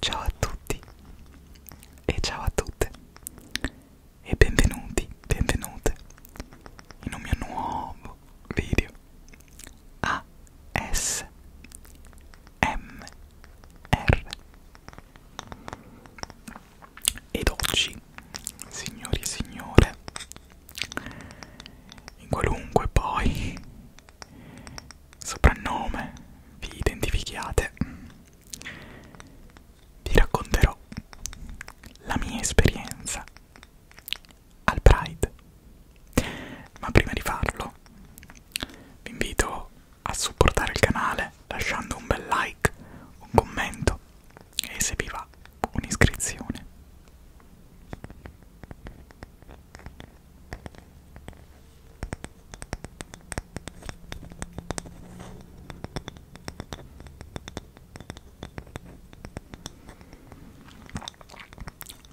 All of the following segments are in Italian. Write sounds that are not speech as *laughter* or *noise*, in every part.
Ciao a tutti e ciao a tutte e benvenuti, benvenute in un mio nuovo video ASMR ed oggi, signori e signore, in qualunque poi soprannome vi identifichiate vi racconterò la mia esperienza al Pride. Ma prima di farlo, vi invito a supportare il canale lasciando un bel like, un commento e se vi va un'iscrizione.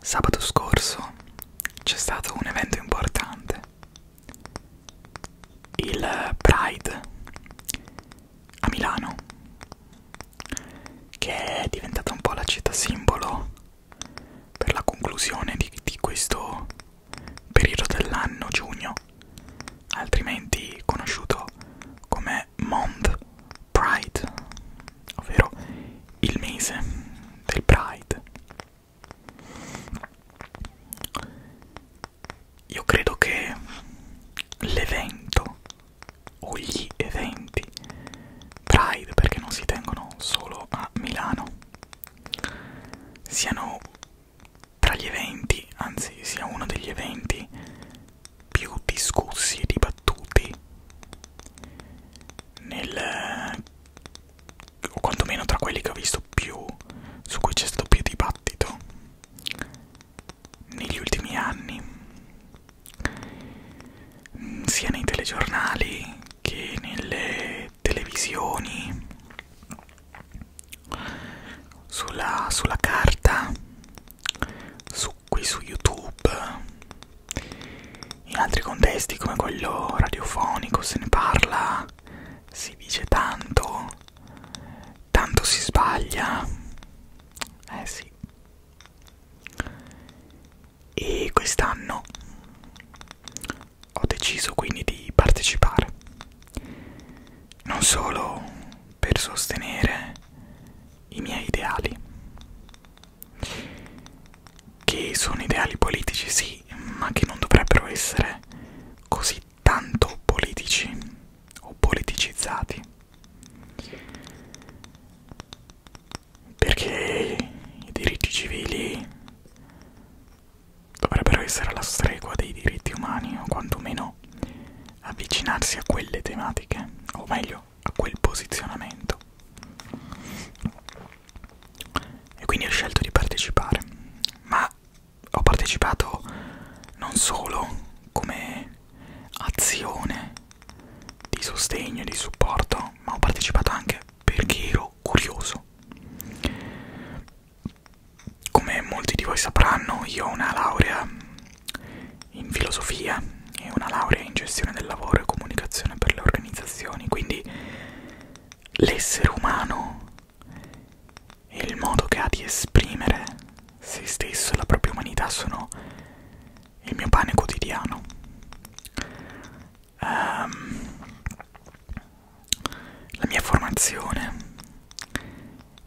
Sabato scorso c'è stato un evento importante, il Pride a Milano, che è diventata un po' la città simbolo per la conclusione di, di questo periodo dell'anno, giugno, altrimenti conosciuto come Month Pride, ovvero il mese del Pride. Io credo che l'evento o gli eventi Pride, perché non si tengono solo a Milano, siano tra gli eventi, anzi sia uno degli eventi più discussi e dibattuti nel o quantomeno tra quelli che ho visto più su cui c'è stato più dibattito negli ultimi anni mm, sia nei telegiornali che nelle televisioni sulla, sulla carta su, qui su youtube in altri contesti come quello radiofonico se ne parla si dice tanto tanto si sbaglia eh sì e quest'anno ho deciso quindi di partecipare non solo per sostenere i miei ideali che sono ideali politici sì ma che non dovrebbero essere così tanto politici o politicizzati perché i diritti civili dovrebbero essere alla stregua dei diritti umani o quantomeno avvicinarsi a quelle tematiche, o meglio a quel posizionamento. E quindi ho scelto di partecipare, ma ho partecipato non solo come azione di sostegno e di supporto, ma ho partecipato anche perché ero curioso come molti di voi sapranno, io ho una laurea in filosofia e una laurea in gestione del lavoro e comunicazione per le organizzazioni, quindi l'essere umano e il modo che ha di esprimere se stesso e la propria umanità sono il mio pane quotidiano. Um, la mia formazione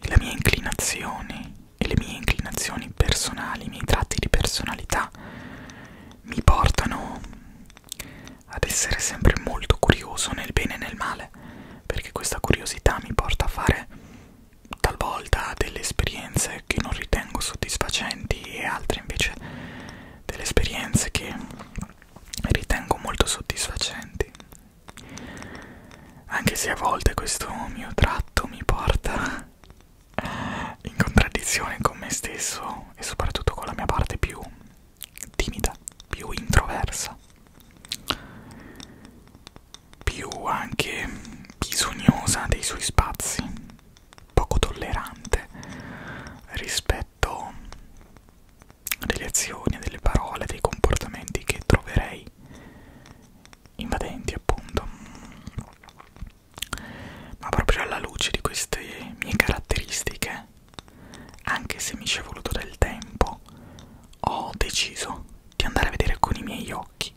le mie inclinazioni e le mie inclinazioni personali, i miei tratti di personalità mi portano ad essere sempre molto curioso nel bene e nel male, perché questa curiosità mi porta a fare talvolta delle esperienze che non ritengo soddisfacenti e altre invece delle esperienze che ritengo molto soddisfacenti anche se a volte questo mio tratto mi porta in contraddizione con me stesso e soprattutto con la mia parte più timida, più introversa, più anche bisognosa dei suoi spazi, poco tollerante rispetto delle azioni, delle parole, dei comportamenti che troverei invadenti appunto ma proprio alla luce di queste mie caratteristiche anche se mi ci è voluto del tempo ho deciso di andare a vedere con i miei occhi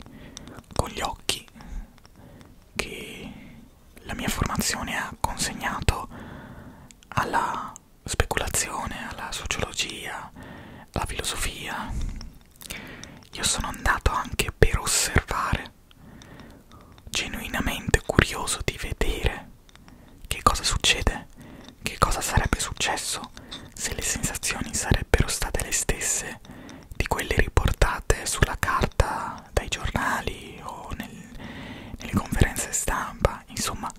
con gli occhi che la mia formazione ha consegnato alla speculazione, alla sociologia, alla filosofia. Io sono andato anche per osservare, genuinamente curioso di vedere che cosa succede, che cosa sarebbe successo se le sensazioni sarebbero state le stesse di quelle riportate sulla carta dai giornali o nel, nelle conferenze stampa. Insomma,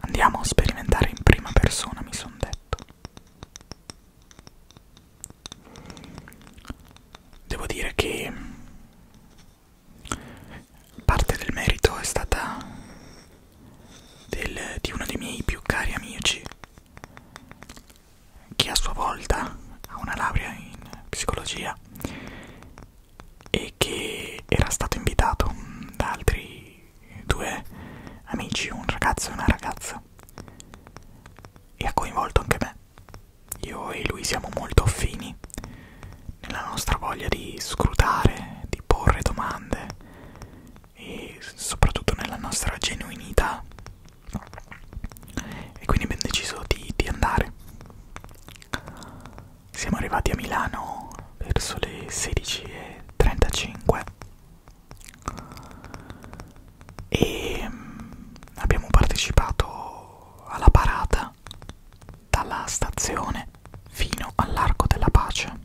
andiamo a sperimentare in prima persona, mi sono detto fatto devo dire che parte del merito è stata del, di uno dei miei più cari amici che a sua volta ha una laurea in psicologia e che era stato invitato da altri due amici, un ragazzo e una ragazza, e ha coinvolto anche me. Io e lui siamo molto affini nella nostra voglia di scrutare, di porre domande e soprattutto nella nostra genuinità. E quindi abbiamo deciso di, di andare. Siamo arrivati a Milano verso le 16.35 e mm, abbiamo partecipato alla parata dalla stazione fino all'Arco della Pace.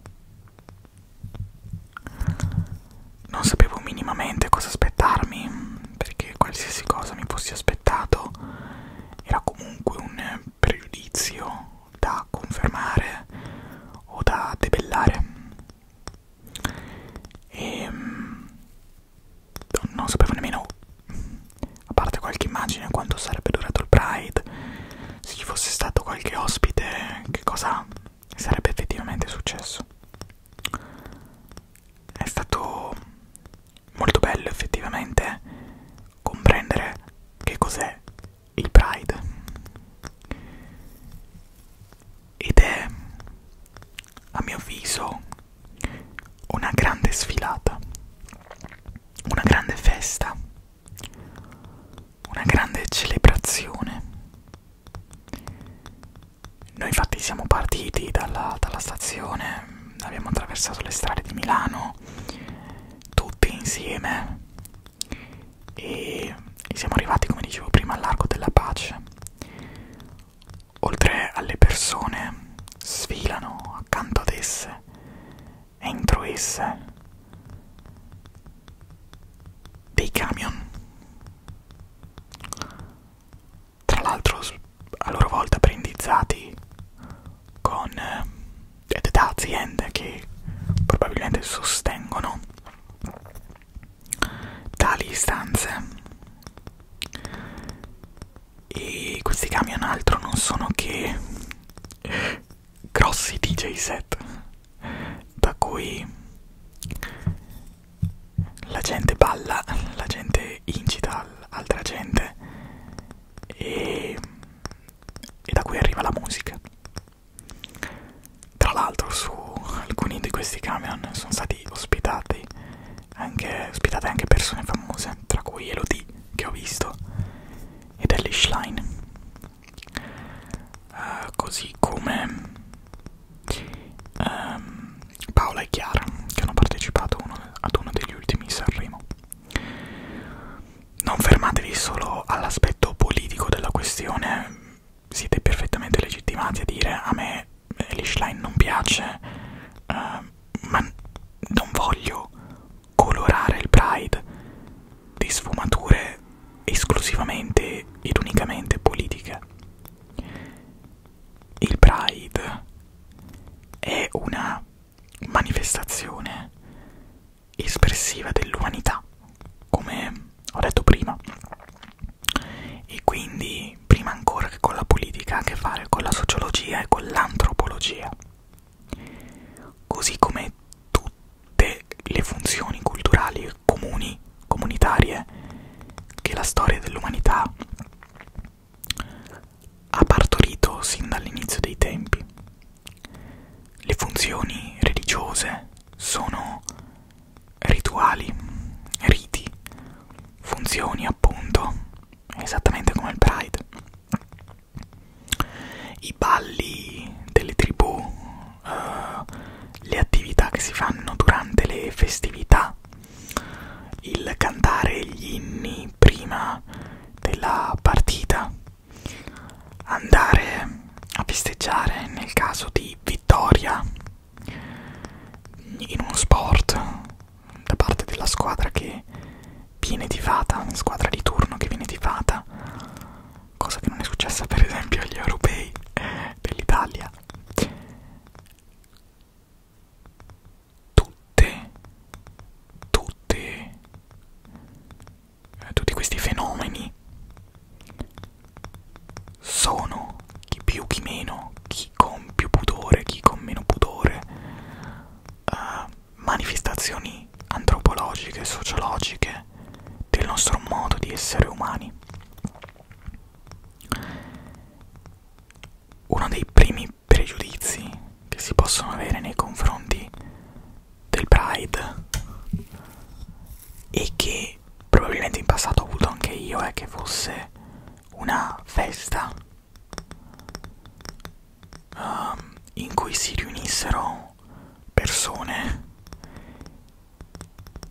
Non sapevo minimamente cosa aspettarmi, perché qualsiasi cosa mi fossi aspettato era comunque un pregiudizio da confermare o da debellare e ehm, non sapevo nemmeno a parte qualche immagine quanto sarebbe durato il Pride se ci fosse stato qualche ospite che cosa sarebbe effettivamente successo è stato molto bello effettivamente comprendere che cos'è il Pride ed è a mio avviso una grande sfilata, una grande festa, una grande celebrazione. Noi infatti siamo partiti dalla, dalla stazione, abbiamo attraversato le strade di Milano tutti insieme e, e siamo arrivati, come dicevo prima, all'arco della pace. Oltre alle persone, sfilano accanto ad esse, entro esse, dei camion. Tra l'altro, a loro volta brandizzati con eh, da aziende che probabilmente sostengono tali istanze e questi camion altro non sono che grossi DJ set da cui la gente balla, la gente incita altra gente e, e da cui arriva la musica tra l'altro su alcuni di questi camion sono stati ospitati anche, ospitate anche persone famose, tra cui Elodie che ho visto ed Ellie Schlein. Uh, così come um, Paola e Chiara che hanno partecipato uno, ad uno degli ultimi Sanremo non fermatevi solo all'aspetto politico della questione, siete perfettamente legittimati a dire a me Elishline non piace, eh, ma non voglio colorare il Pride di sfumature esclusivamente ed unicamente politiche. Il Pride è una manifestazione espressiva dell'umanità, come ho detto prima. E quindi, prima ancora che con la politica, ha a che fare con la sociologia e con l'antropologia. Così come tutte le funzioni culturali comuni, comunitarie, che la storia dell'umanità ha partorito sin dall'inizio dei tempi. Le funzioni religiose sono rituali, riti, funzioni appunto, esattamente come il Pride. I balli delle tribù, uh, le attività che si fanno durante le festività, il cantare gli inni prima della partita andare a festeggiare nel caso di vittoria in uno sport da parte della squadra che viene tifata, squadra di turno che viene tifata, cosa che non è successa per esempio agli europei dell'Italia. Tutte, tutte eh, tutti questi fenomeni sono chi più chi meno, chi con più pudore, chi con meno pudore, eh, manifestazioni antropologiche, sociologiche del nostro modo di essere umani. Uno dei primi pregiudizi che si possono avere nei confronti del Pride e che probabilmente in passato ho avuto anche io è eh, che fosse una festa um, in cui si riunissero persone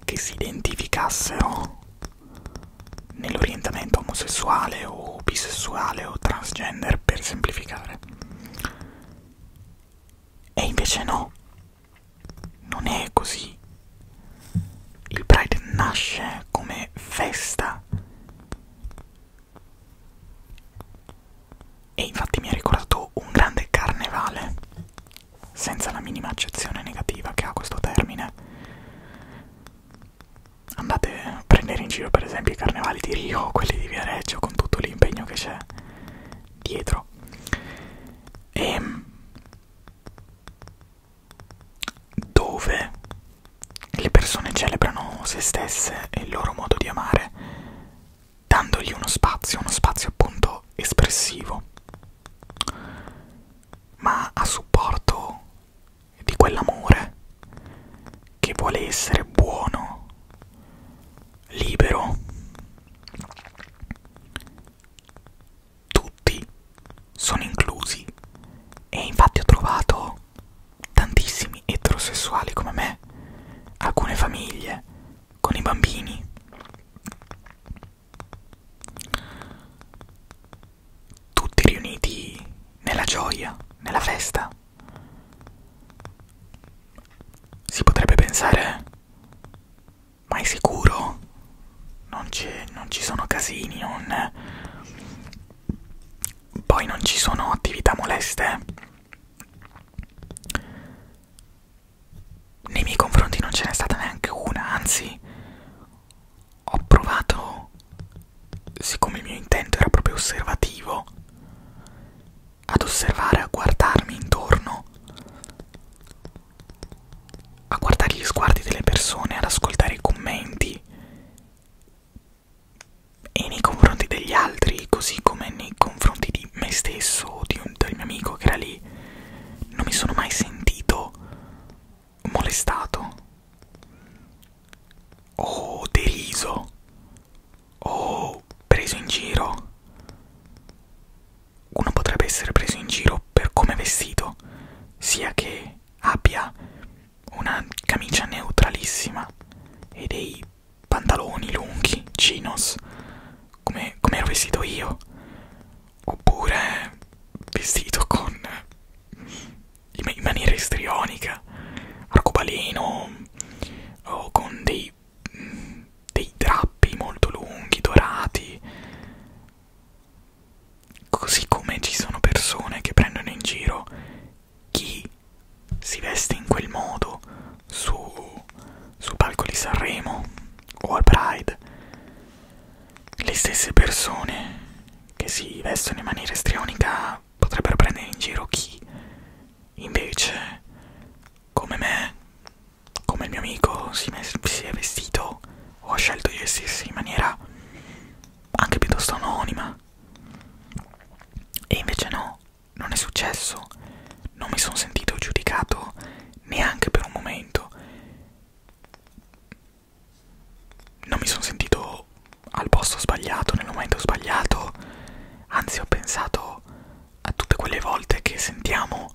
che si identificassero nell'orientamento omosessuale o bisessuale o transgender per semplificare e invece no non è così. Il Pride nasce come festa. E infatti mi ha ricordato un grande carnevale, senza la minima accezione negativa che ha questo termine. Andate a prendere in giro per esempio i carnevali di Rio, quelli di Viareggio, con tutto l'impegno che c'è dietro e ehm, dove le persone celebrano se stesse e il loro modo di amare dandogli uno spazio, uno spazio appunto espressivo, ma a supporto di quell'amore che vuole essere buono, libero tutti sono inclusi e infatti ho trovato tantissimi eterosessuali come me alcune famiglie con i bambini tutti riuniti nella gioia nella festa si potrebbe pensare ma è sicuro? Non, non ci sono casini, non... Poi non ci sono attività moleste? Nei miei confronti non ce n'è stata neanche una, anzi ho provato, siccome il mio intento era proprio osservativo, ad osservare, a guardarmi intorno, a guardare gli sguardi delle persone, ad ascoltare i commenti e nei confronti degli altri, così come nei confronti di me stesso o di un, del mio amico che era lì, non mi sono mai sentito molestato o deriso o preso in giro uno potrebbe essere preso in giro per come è vestito, sia che abbia una camicia neutralissima e dei pantaloni lunghi, chinos, come, come ero vestito io, oppure vestito con in maniera istrionica, arcobaleno o con dei dei drappi molto lunghi, dorati. Così come ci sono persone che prendono in giro chi si veste in quel modo su, su palco di Sanremo o al Pride. Le stesse persone che si vestono in maniera estrionica potrebbero prendere in giro chi invece, come me, come il mio amico si, si è vestito o ha scelto di vestirsi in maniera anche piuttosto anonima e invece no, non è successo, non mi sono sentito giudicato neanche per un momento, non mi sono sentito al posto sbagliato, nel momento sbagliato, anzi ho pensato a tutte quelle volte che sentiamo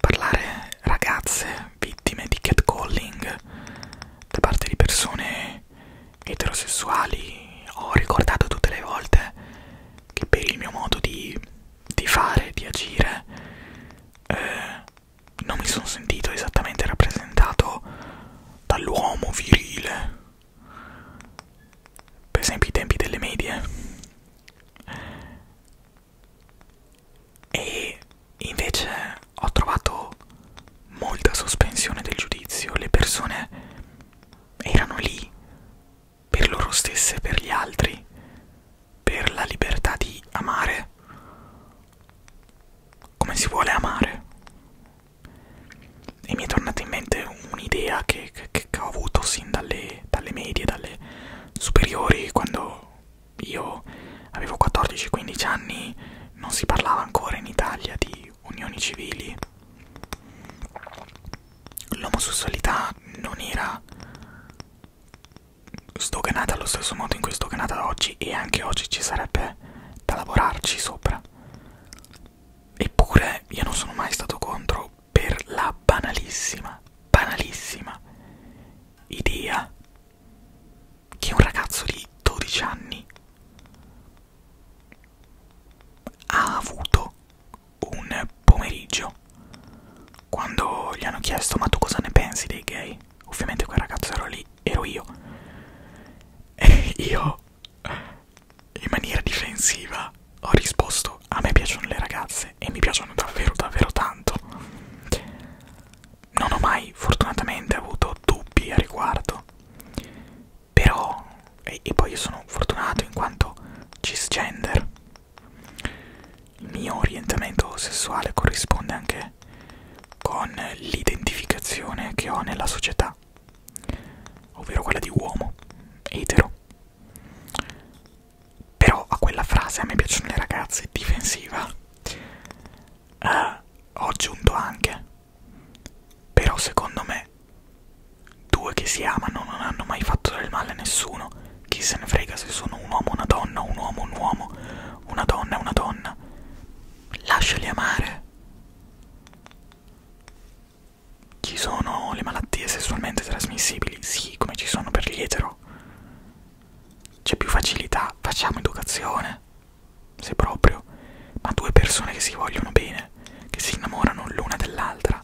parlare ragazze vittime di catcalling da parte di persone eterosessuali, ho ricordato tutte le volte che per il mio modo di, di fare, di agire, eh, non mi sono sentito esattamente rappresentato dall'uomo virile. Per esempio i tempi delle medie e invece ho trovato molta sospensione del giudizio, le persone erano lì per loro stesse, per gli altri, per la libertà di amare come si vuole amare. E mi è tornata in mente un'idea che, che, che ho avuto sin dalle, dalle medie, dalle superiori, quando io avevo 14-15 anni, non si parlava ancora in Italia di unioni civili. L'omosessualità non era sdoganata allo stesso modo in cui è sdoganata oggi e anche oggi ci sarebbe da lavorarci sopra. Eppure io non sono mai stato contro per la banalissima, banalissima idea che un ragazzo di 12 anni ha avuto un pomeriggio quando gli hanno chiesto ma tu cosa ne pensi dei gay? Ovviamente quel ragazzo ero lì, ero io. *laughs* E io in maniera difensiva ho risposto a me piacciono le ragazze e mi piacciono davvero davvero tanto non ho mai fortunatamente avuto dubbi a riguardo però e, e poi io sono fortunato in quanto cisgender il mio orientamento sessuale corrisponde anche con l'identificazione che ho nella società ovvero quella di uomo etero però a quella frase a me piacciono le ragazze difensiva. Uh, ho aggiunto anche. Però secondo me due che si amano non hanno mai fatto del male a nessuno. Chi se ne frega se sono un uomo, una donna, un uomo, un uomo, una donna, una donna. Lasciali amare. Ci sono le malattie sessualmente trasmissibili? Sì, come ci sono per gli etero. C'è più facilità, facciamo educazione. Se proprio. Ma due persone che si vogliono bene, che si innamorano l'una dell'altra.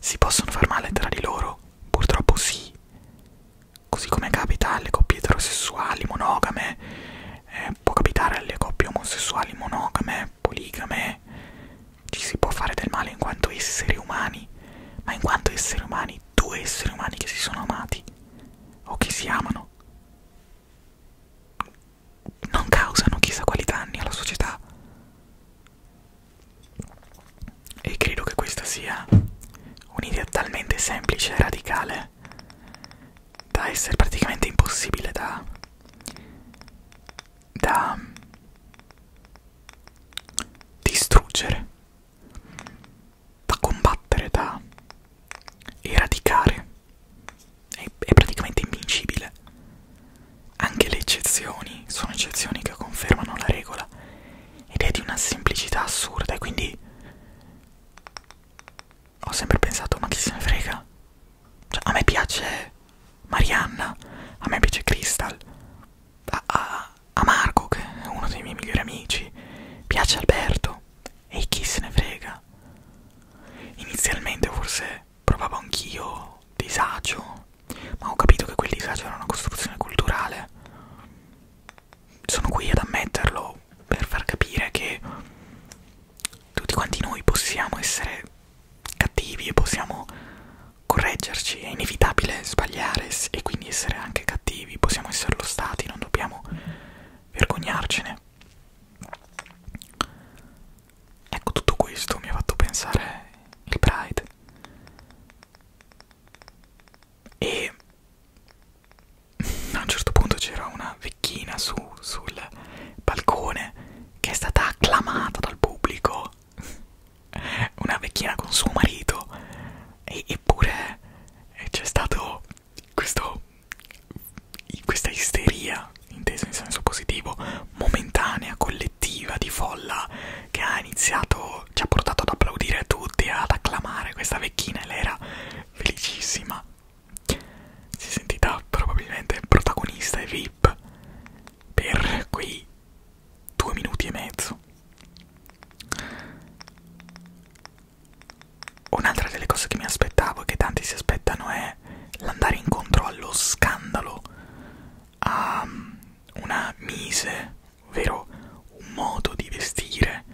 Si possono far male tra di loro? Purtroppo sì. Così come capita alle coppie eterosessuali monogame, eh, può capitare alle coppie omosessuali monogame, persone poligame, ci si può fare del male in quanto esseri umani, ma in quanto esseri umani, due esseri umani che si sono amati o che si amano, non causano chissà quali danni alla società. E credo che questa sia un'idea talmente semplice e radicale da essere praticamente impossibile da da distruggere, da combattere, da eradicare. È, è praticamente invincibile. Anche le eccezioni sono eccezioni che confermano la regola ed è di una semplicità assurda e quindi ho sempre pensato ma chi se ne frega? Cioè a me piace Marianna, a me piace Crystal, a, a, a Marco che è uno dei miei migliori amici, piace Alberto e chi se ne frega. Inizialmente forse provavo anch'io disagio, ma ho capito che quel disagio era una costruzione culturale. Sono qui ad ammetterlo per far capire che tutti quanti noi possiamo essere cattivi e possiamo correggerci, è inevitabile sbagliare e quindi essere anche cattivi, possiamo esserlo stati, non dobbiamo vergognarcene. Ecco, tutto questo mi ha fatto pensare il Pride. E a un certo punto c'era una vecchina su, sul balcone che è stata acclamata dal pubblico *laughs* una vecchina con suo marito e, eppure c'è stato questo questa isteria intesa in senso positivo momentanea collettiva di folla che ha iniziato ci ha portato ad applaudire tutti ad acclamare questa vecchina e lei era felicissima si è sentita probabilmente protagonista e vip per quei due minuti e mezzo. Un'altra delle cose che mi aspettavo e che tanti si aspettano è l'andare incontro allo scandalo, a ehm, una mise, ovvero un modo di vestire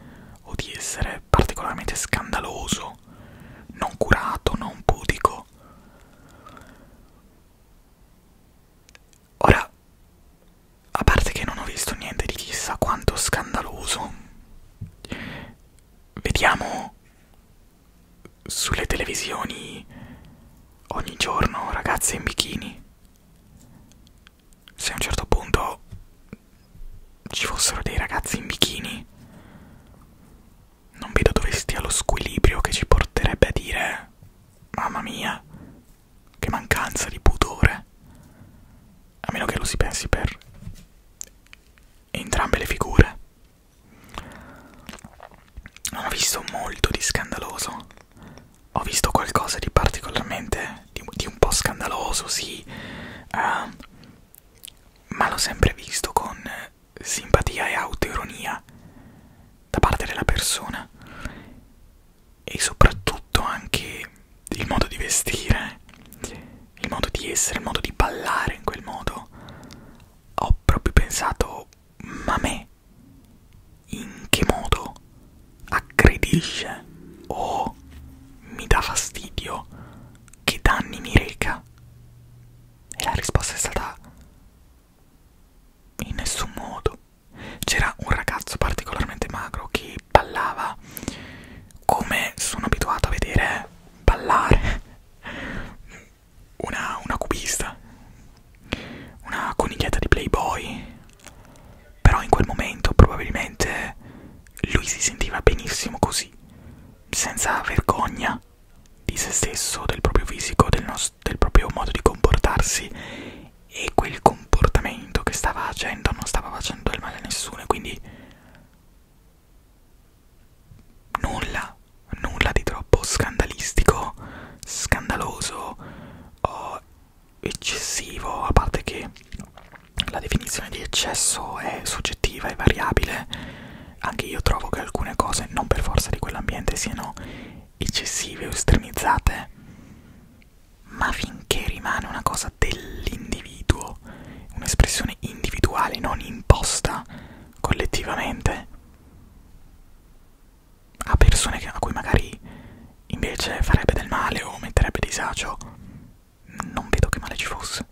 o di essere particolarmente scandaloso, non curato, non pudico. Ora, a parte che non ho visto niente di chissà quanto scandaloso, vediamo sulle televisioni ogni giorno ragazze in bikini. Se a un certo punto ci fossero dei ragazzi in bikini, non vedo dove stia lo squilibrio che ci porterebbe a dire Mamma mia, che mancanza di pudore. A meno che lo si pensi per entrambe le figure. Non ho visto molto di scandaloso. Ho visto qualcosa di particolarmente. di, di un po' scandaloso, sì. Uh, ma l'ho sempre visto con simpatia e autoironia da parte della persona e soprattutto anche il modo di vestire, il modo di essere, il modo di ballare in quel modo, ho proprio pensato, ma me, in che modo aggredisce o mi dà fastidio, che danni mi reca? E la risposta è stata in nessun modo. C'era un ragazzo particolarmente magro che ballava come sono abituato a vedere ballare una, una cubista, una coniglietta di Playboy. Però in quel momento probabilmente lui si sentiva benissimo così, senza vergogna di se stesso, del proprio fisico, del, no del proprio modo di comportarsi e quel comportamento che stava facendo non stava facendo del male a nessuno e quindi nulla, nulla di troppo scandalistico, scandaloso o eccessivo, a parte che la definizione di eccesso è soggettiva e variabile, anche io trovo che alcune cose non per forza di quell'ambiente siano eccessive o estremizzate, ma finché rimane una cosa dell'individuo, un'espressione individuale non imposta collettivamente a persone a cui magari invece farebbe del male o metterebbe disagio, non vedo che male ci fosse.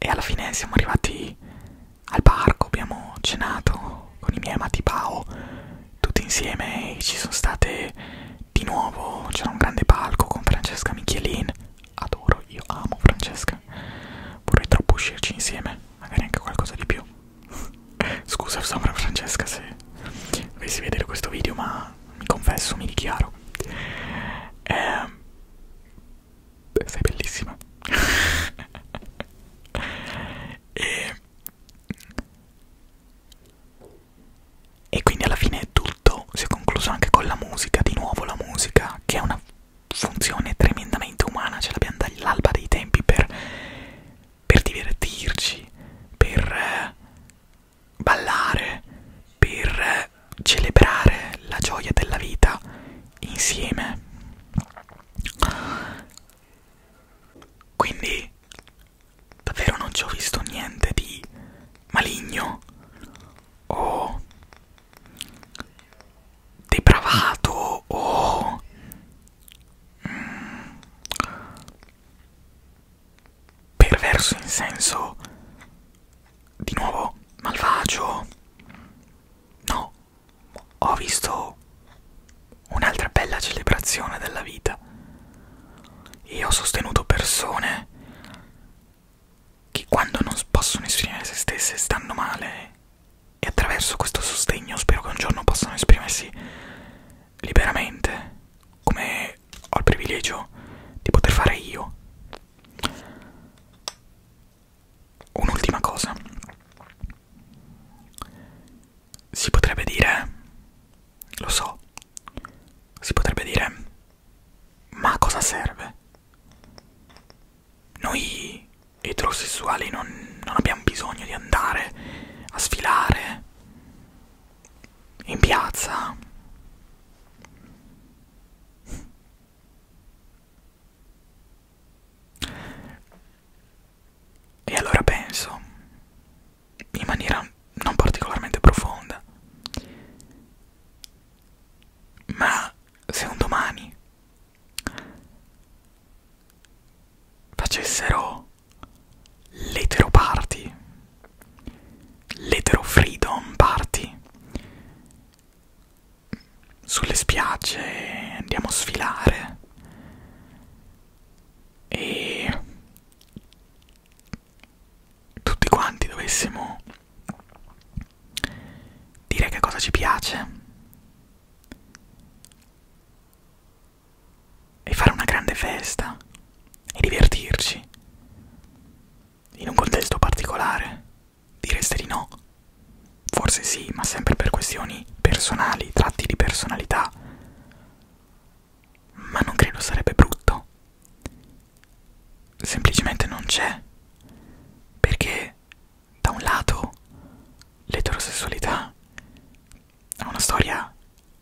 E alla fine siamo arrivati al parco, abbiamo cenato con i miei amati Pao tutti insieme e ci sono state di nuovo, c'era un grande palco con Francesca Michelin, adoro, io amo Francesca, vorrei troppo uscirci insieme, magari anche qualcosa di più. *laughs* Scusa sopra Francesca se dovessi vedere questo video ma mi confesso, mi dichiaro. Eh, Beh, sei bellissima *laughs* e, e quindi alla fine tutto si è concluso anche con la musica, di nuovo la musica che è una funzione tremendamente umana, ce cioè, l'abbiamo dall'alba dei tempi per, per divertirci, per eh, ballare, per eh, celebrare la gioia della vita insieme quindi davvero non ci ho visto niente di maligno o depravato o mm, perverso in senso di nuovo malvagio no ho visto un'altra bella celebrazione della vita e ho sostenuto persone che quando non possono esprimere se stesse stanno male e attraverso questo sostegno spero che un giorno possano esprimersi liberamente come ho il privilegio di poter fare io Un'ultima cosa. Si potrebbe dire, lo so, si potrebbe dire, ma a cosa serve? Noi eterosessuali non, non abbiamo bisogno di andare a sfilare in piazza. E allora penso, in maniera non particolarmente profonda, ma se un domani facessero l'etero party, l'etero freedom party, sulle spiagge, andiamo a sfilare e tutti quanti dovessimo dire che cosa ci piace e fare una grande festa e divertirci in un contesto particolare Direste di no? Forse sì, ma sempre per questioni personali, tratti di personalità. Ma non credo sarebbe brutto. Semplicemente non c'è. Perché, da un lato, l'eterosessualità ha una storia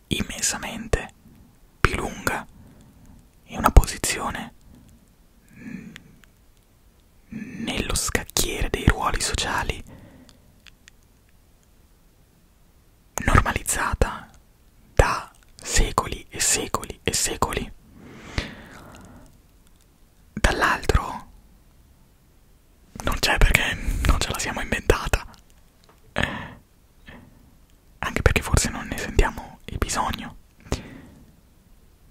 immensamente più lunga e una posizione mm, nello scacchiere dei ruoli sociali normalizzata da secoli e secoli e secoli. Dall'altro non c'è perché non ce la siamo inventata. Eh, anche perché forse non ne sentiamo il bisogno.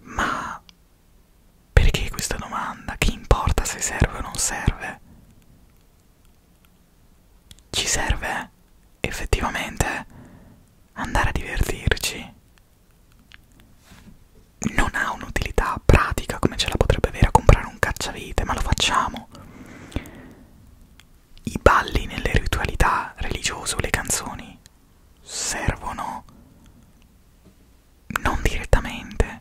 Ma perché questa domanda? Che importa se serve o non serve? Ci serve effettivamente andare a divertirci. Non ha un'utilità pratica come ce la potrebbe avere a comprare un cacciavite, ma lo facciamo. I balli nelle ritualità religiose o le canzoni servono non direttamente.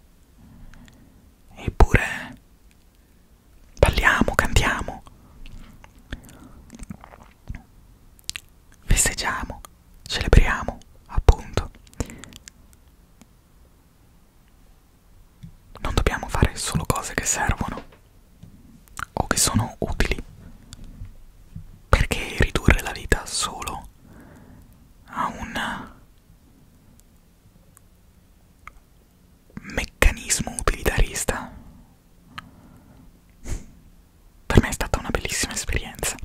Eppure balliamo, cantiamo, festeggiamo, celebriamo, appunto. Non dobbiamo fare solo cose che servono o che sono utili. Perché ridurre la vita solo ha un meccanismo utilitarista. Per me è stata una bellissima esperienza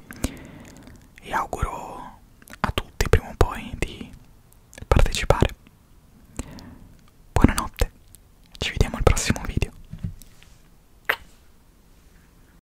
e auguro a tutti prima o poi di partecipare. Buonanotte, ci vediamo al prossimo video.